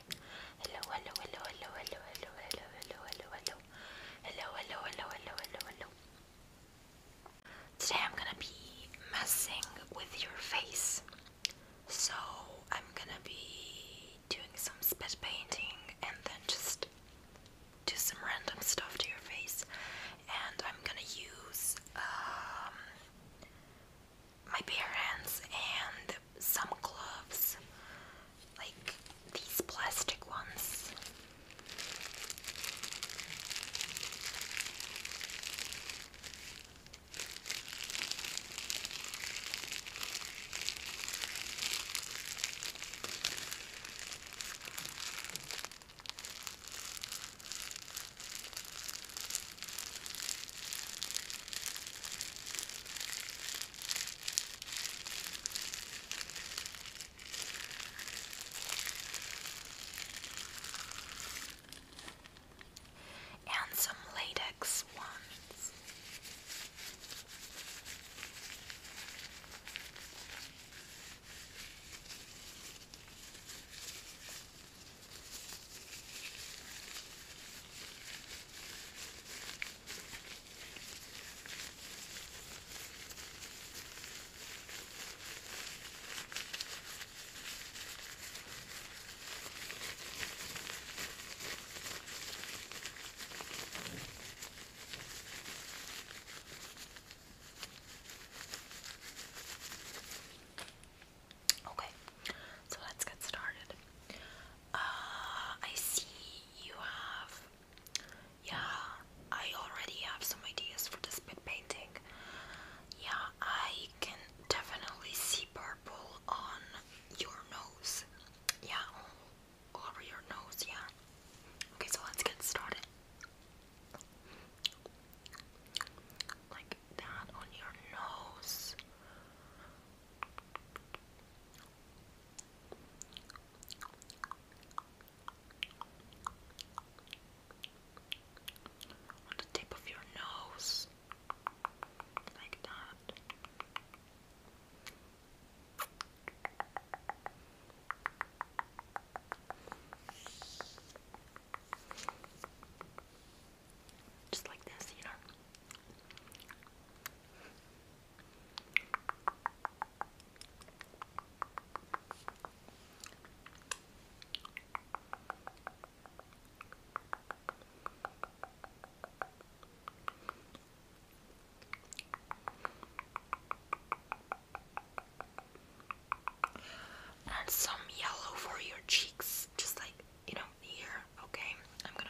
Hi. Hello, hello, hello, hello, hello, hello, hello, hello, hello, hello. Hello, hello, hello, hello, hello, hello. Today I'm gonna be messing with your face. So I'm gonna be doing some spit painting and then just do some random stuff to your face. And I'm gonna use um, my bare hands and some gloves like these plastic ones and some latex ones. Okay, so let's get started. Uh, I see you have. Yeah, I already have some ideas for this bit painting. Yeah, I can definitely see purple on your nose. Yeah, over your nose, yeah. Okay, so let's get started. Like that on your nose. On the tip of your nose, like that. Just like this, you know. And some yellow for your cheeks, just like you know, here. Okay, I'm gonna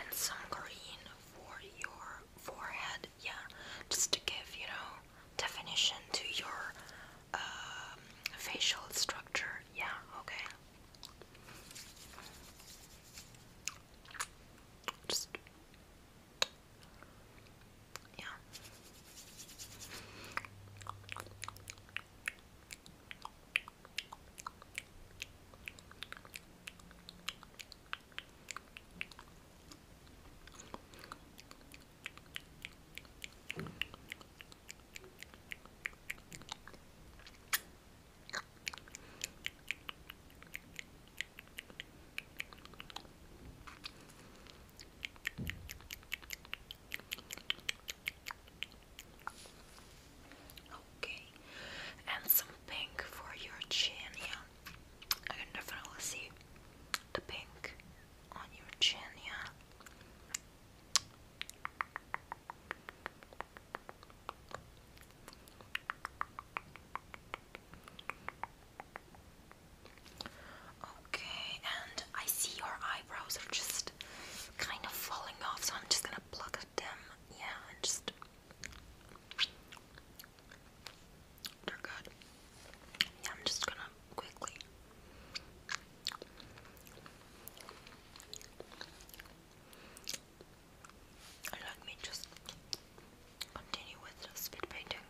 and some green for your forehead, yeah, just to give, you know, definition to your um, facial structure, yeah, okay. Just yeah. Okay, and some pink for your chin, I can definitely see the pink on your chin, yeah. Okay, and I see your eyebrows are just kind of falling off, so I'm just gonna pluck them, yeah, just they Yeah, I'm just gonna quickly. Let me just continue with the speed painting.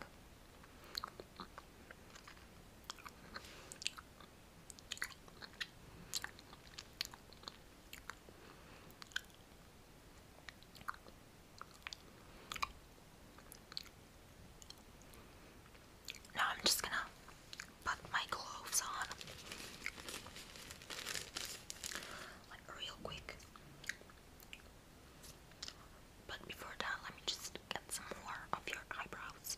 Now I'm just gonna put my gloves on like real quick. But before that, let me just get some more of your eyebrows.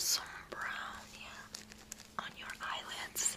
Some brown, yeah, on your eyelids.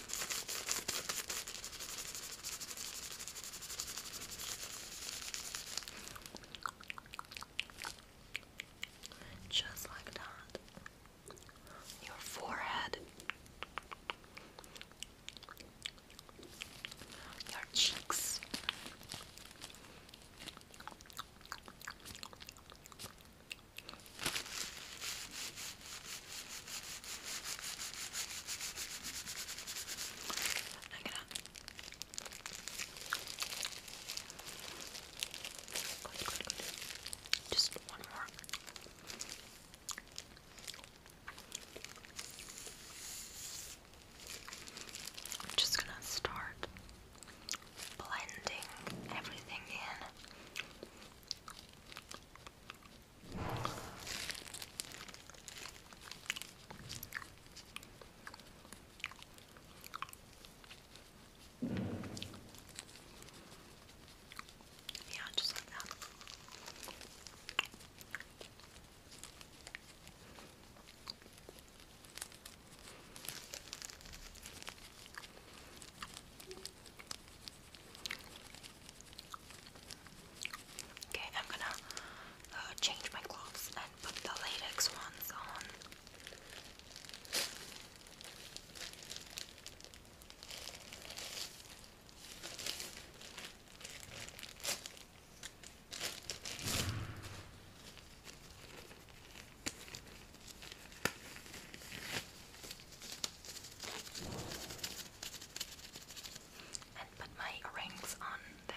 Just like that. Your forehead. Your cheeks. I'm Just one more. I'm just gonna start blending everything in. Yeah, just like that. Okay, I'm gonna uh, change my clothes and put the latex ones on and put my rings on them.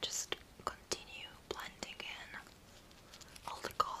Just continue blending in all the color.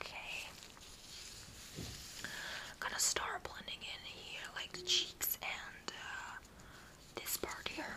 Okay. I'm gonna start blending in here, like the cheeks and uh, this part here.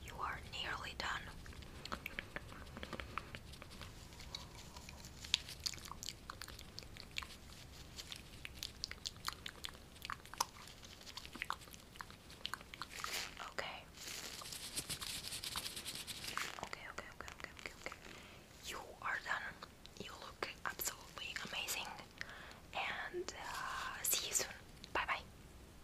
You are nearly done. Okay. Okay, okay, okay, okay, okay, You are done. You look absolutely amazing. And uh, see you soon. Bye bye.